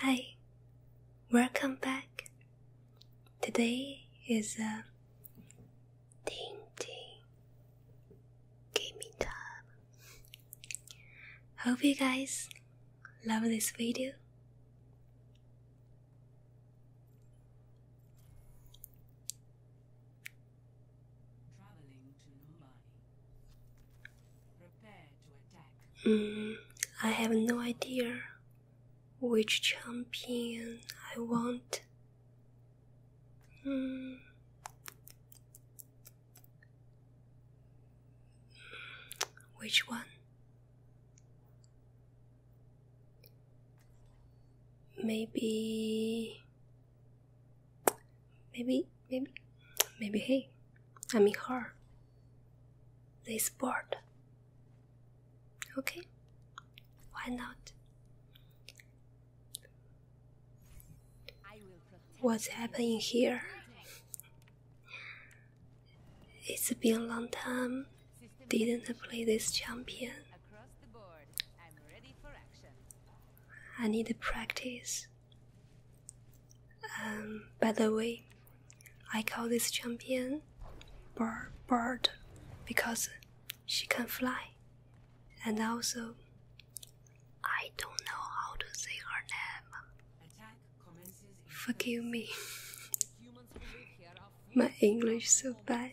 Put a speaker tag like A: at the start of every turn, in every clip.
A: Hi, welcome back. Today is a uh, ding gaming time. Hope you guys love this video. Mm, I have no idea which champion I want. Mm. Which one? Maybe, maybe, maybe, maybe. Hey, I mean her this board. Okay, why not? What's happening here? It's been a long time. Didn't play this champion. I need to practice. Um, by the way, I call this champion bird, because she can fly, and also I don't know how to say her name. Forgive me, my English is so bad.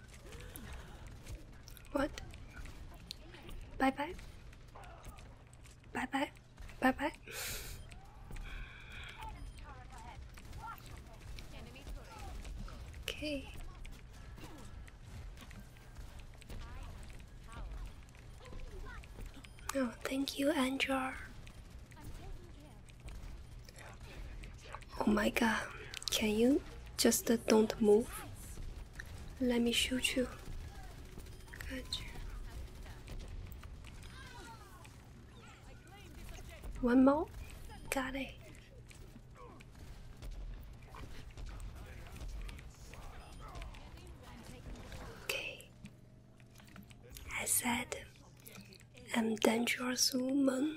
A: What? Bye bye. Bye bye. Bye bye. Okay. No, oh, thank you, Anjar. Oh my god, can you just don't move? Let me shoot you. Gotcha. One more? Got it. Okay. I said I'm dangerous woman.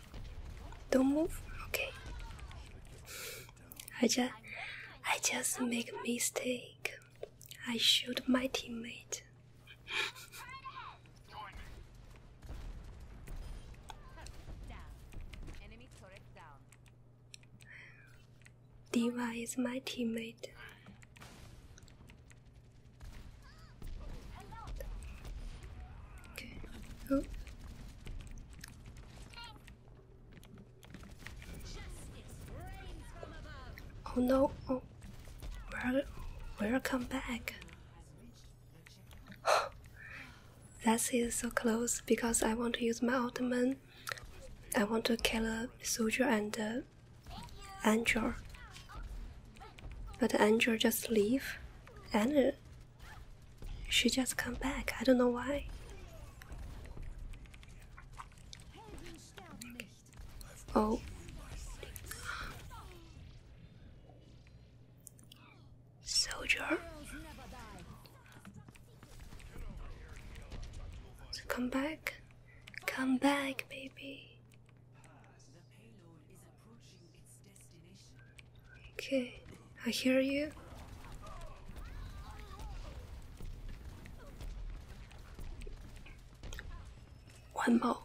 A: Don't move. Okay. I just, I just make a mistake. I shoot my teammate. Diva is my teammate. Okay. Oh. Oh no! Oh, where, where come back? That's so close because I want to use my ottoman. I want to kill a soldier and a uh, angel, but the angel just leave, and uh, she just come back. I don't know why. Oh. Soldier. So come back. Come back, baby. Okay, I hear you. One more.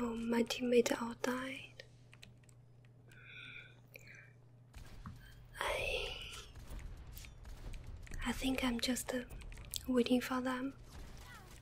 A: Oh, my teammate all died. I, I think I'm just uh, waiting for them.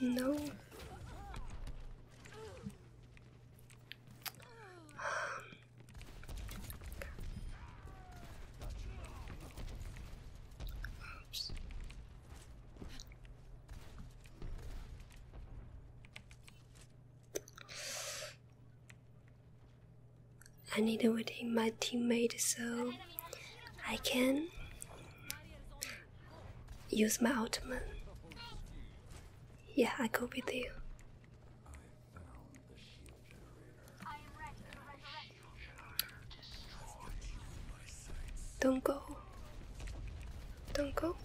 A: No. Oops. I need to wait in my teammate so I can use my ultimate. Yeah, I go with you. Don't go. Don't go.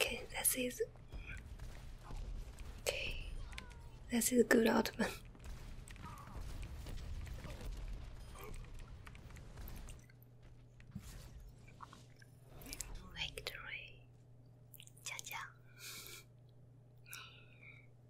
A: Okay, this is okay. This is good Ottoman. Victory, cha cha.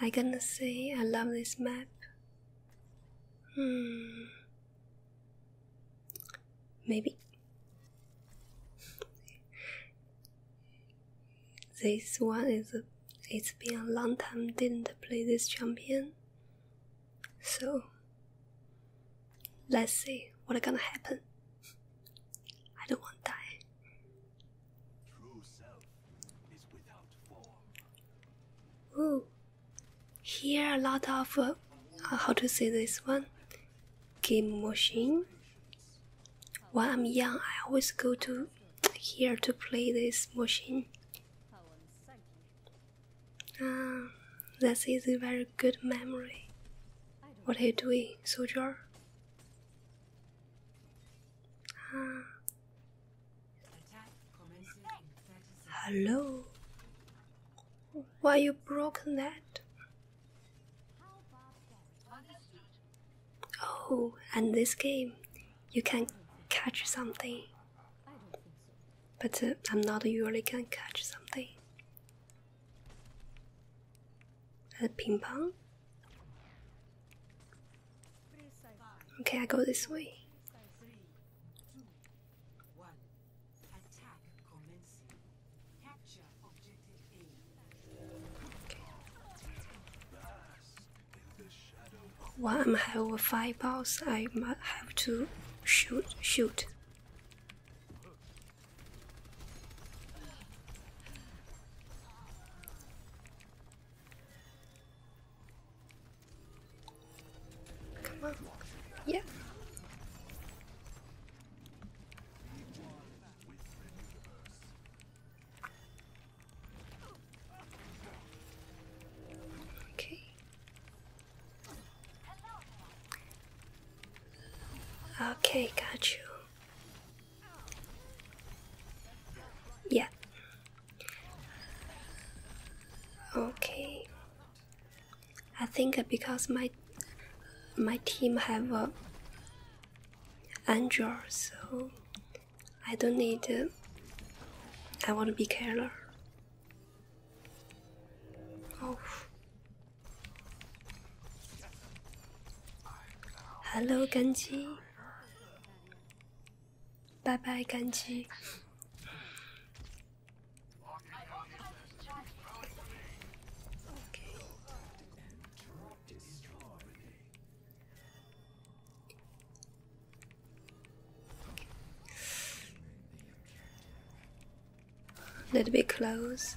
A: I gonna say I love this map. Hmm. Maybe. This one is it's been a long time didn't play this champion. So let's see what gonna happen. I don't want that. True self Ooh, here a lot of uh, uh, how to say this one game machine. When I'm young, I always go to here to play this machine. Ah, that is a very good memory. What are you doing, soldier? Hello? Why you broke that? Oh, and this game, you can catch something. But uh, I'm not usually can catch something at uh, ping pong. Okay, I go this way. Okay. While I'm have five balls, I might have to shoot, shoot. Come on. Yeah. Okay. Okay, got you. Yeah. Okay. I think because my my team have a uh, Android, so I don't need. Uh, I want to be careless. Oh. Hello, Genji. 拜拜，干鸡。Okay. Let me close.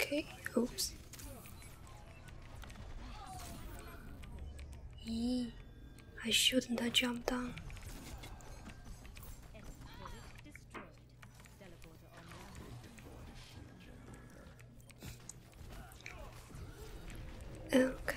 A: Okay, oops. Eee, I shouldn't have jumped down. Okay.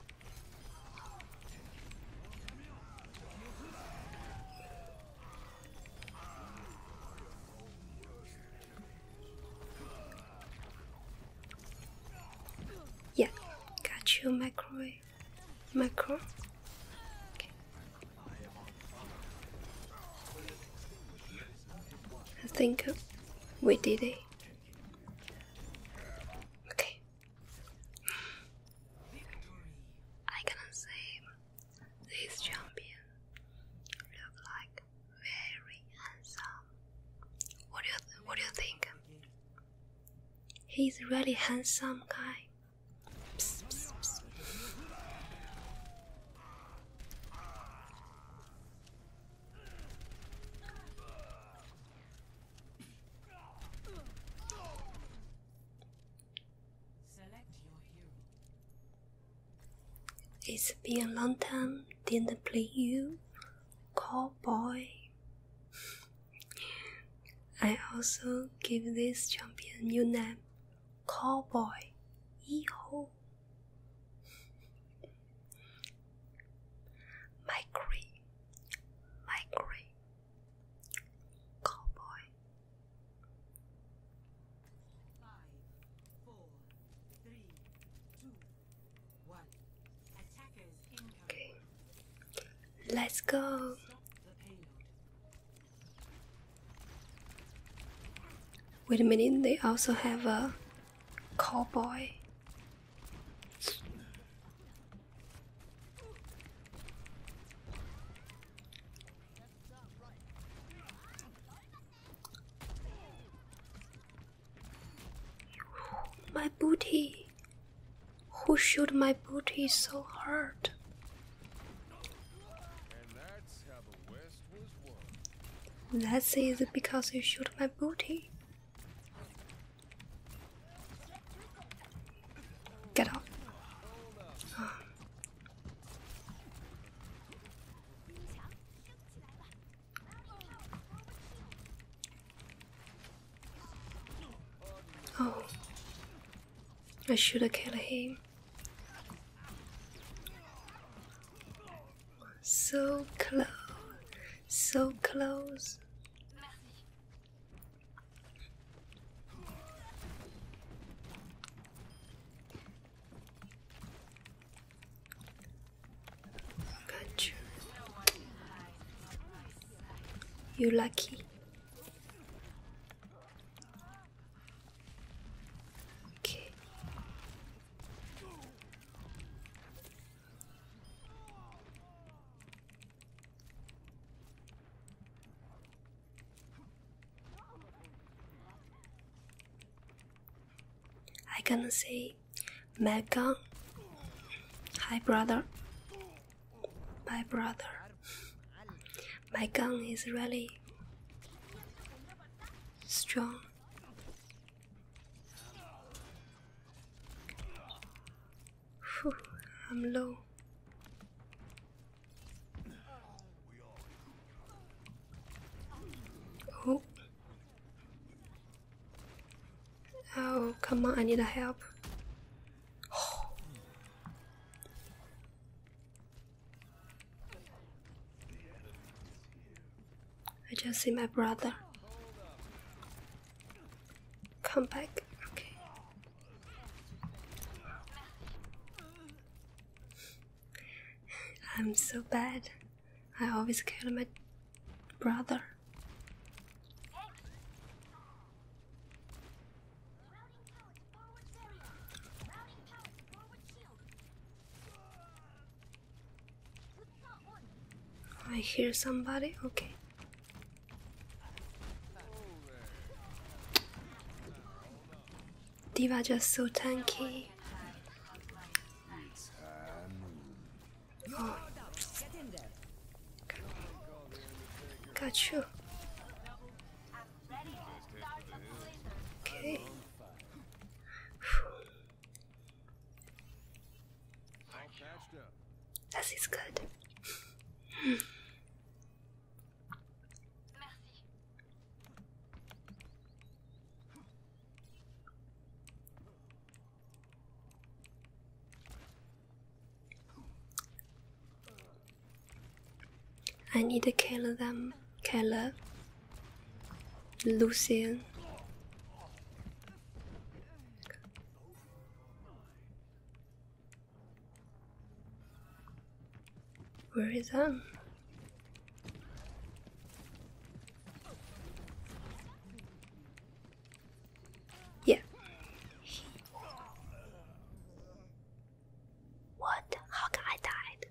A: Yeah, got you microwave micro I think we did it Okay. I cannot say this champion look like very handsome. What do you what do you think? He's really handsome guy. It's been a long time didn't play you, cowboy. I also give this champion new name, cowboy. Yeehaw migraine, migraine, cowboy. Five, four, three, two, one. Attackers incoming. let's go. Wait a minute, they also have a cowboy. My booty. Who shot my booty so hard? That's easy because you shot my booty. Get out. Oh, I should have killed him so close, so close. Got you. You lucky. Okay. I can say Mega Hi brother My brother My gun is really strong Whew, I'm low. Oh. Oh, come on, I need a help. I just see my brother. Come back. Okay. I'm so bad. I always kill my brother. I hear somebody. Okay. Diva just so tanky. Oh. Got you. Okay. That is you. good. I need to kill them, killer, Lucian, where is Anne? Yeah. What? How come I died?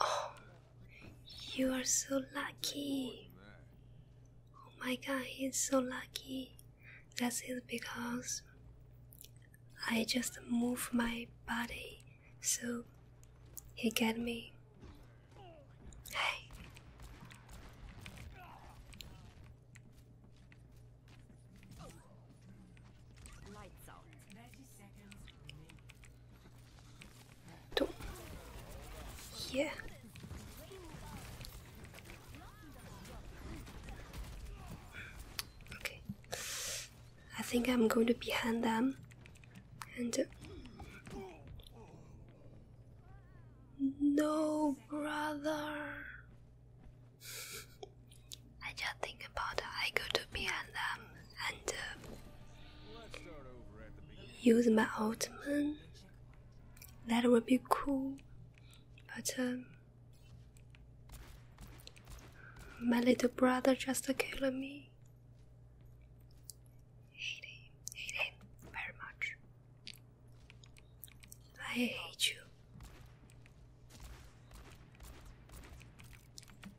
A: Oh, you are so lucky. Oh my god, he's so lucky. That's it because I just move my body, so he get me. Hey. To. Yeah. Okay. I think I'm going to behind them and. Uh, no, brother. I just think about I go to p and and uh, use my Ultimate. That would be cool. But um, my little brother just killed me. Hate him, very much. I hate you.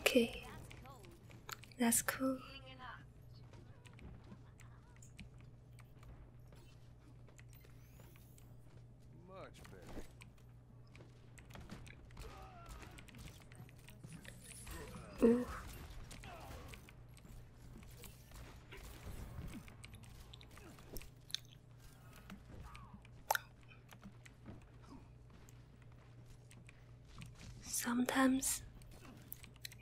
A: Okay, that's cool. Ooh. Sometimes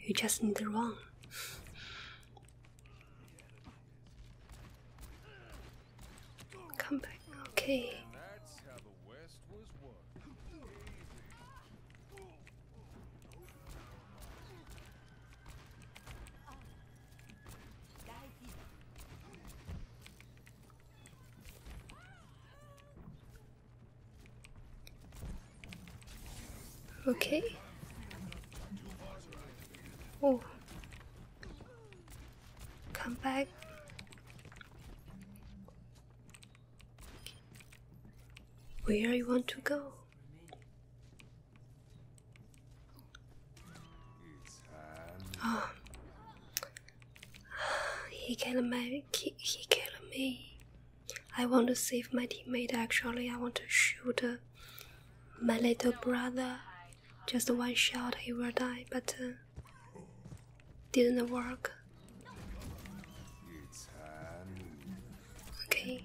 A: you just need to run. Come back, okay. Okay. Oh. Come back. Where you want to go? Oh. He killed me. He, he killed me. I want to save my teammate. Actually, I want to shoot uh, my little brother. Just one shot, he will die. But uh, didn't work. Okay.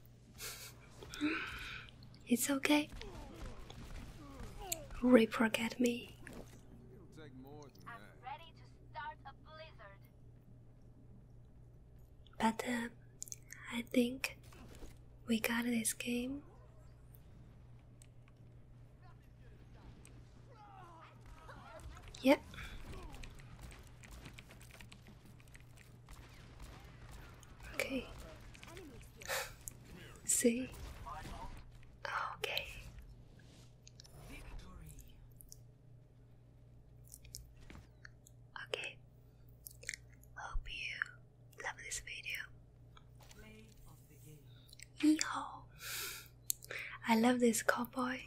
A: It's okay. Reaper get me. But uh, I think we got this game. Yep. Okay. See? Okay. Okay. Hope you love this video. Yeehaw! I love this cowboy.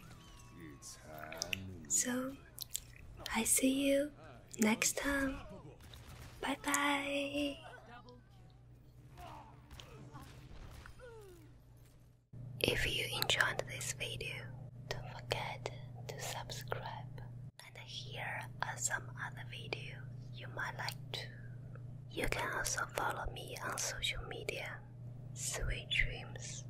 A: So I see you next time. Bye bye. If you enjoyed this video, don't forget to subscribe and here are some other videos you might like to. You can also follow me on social media. Sweet dreams.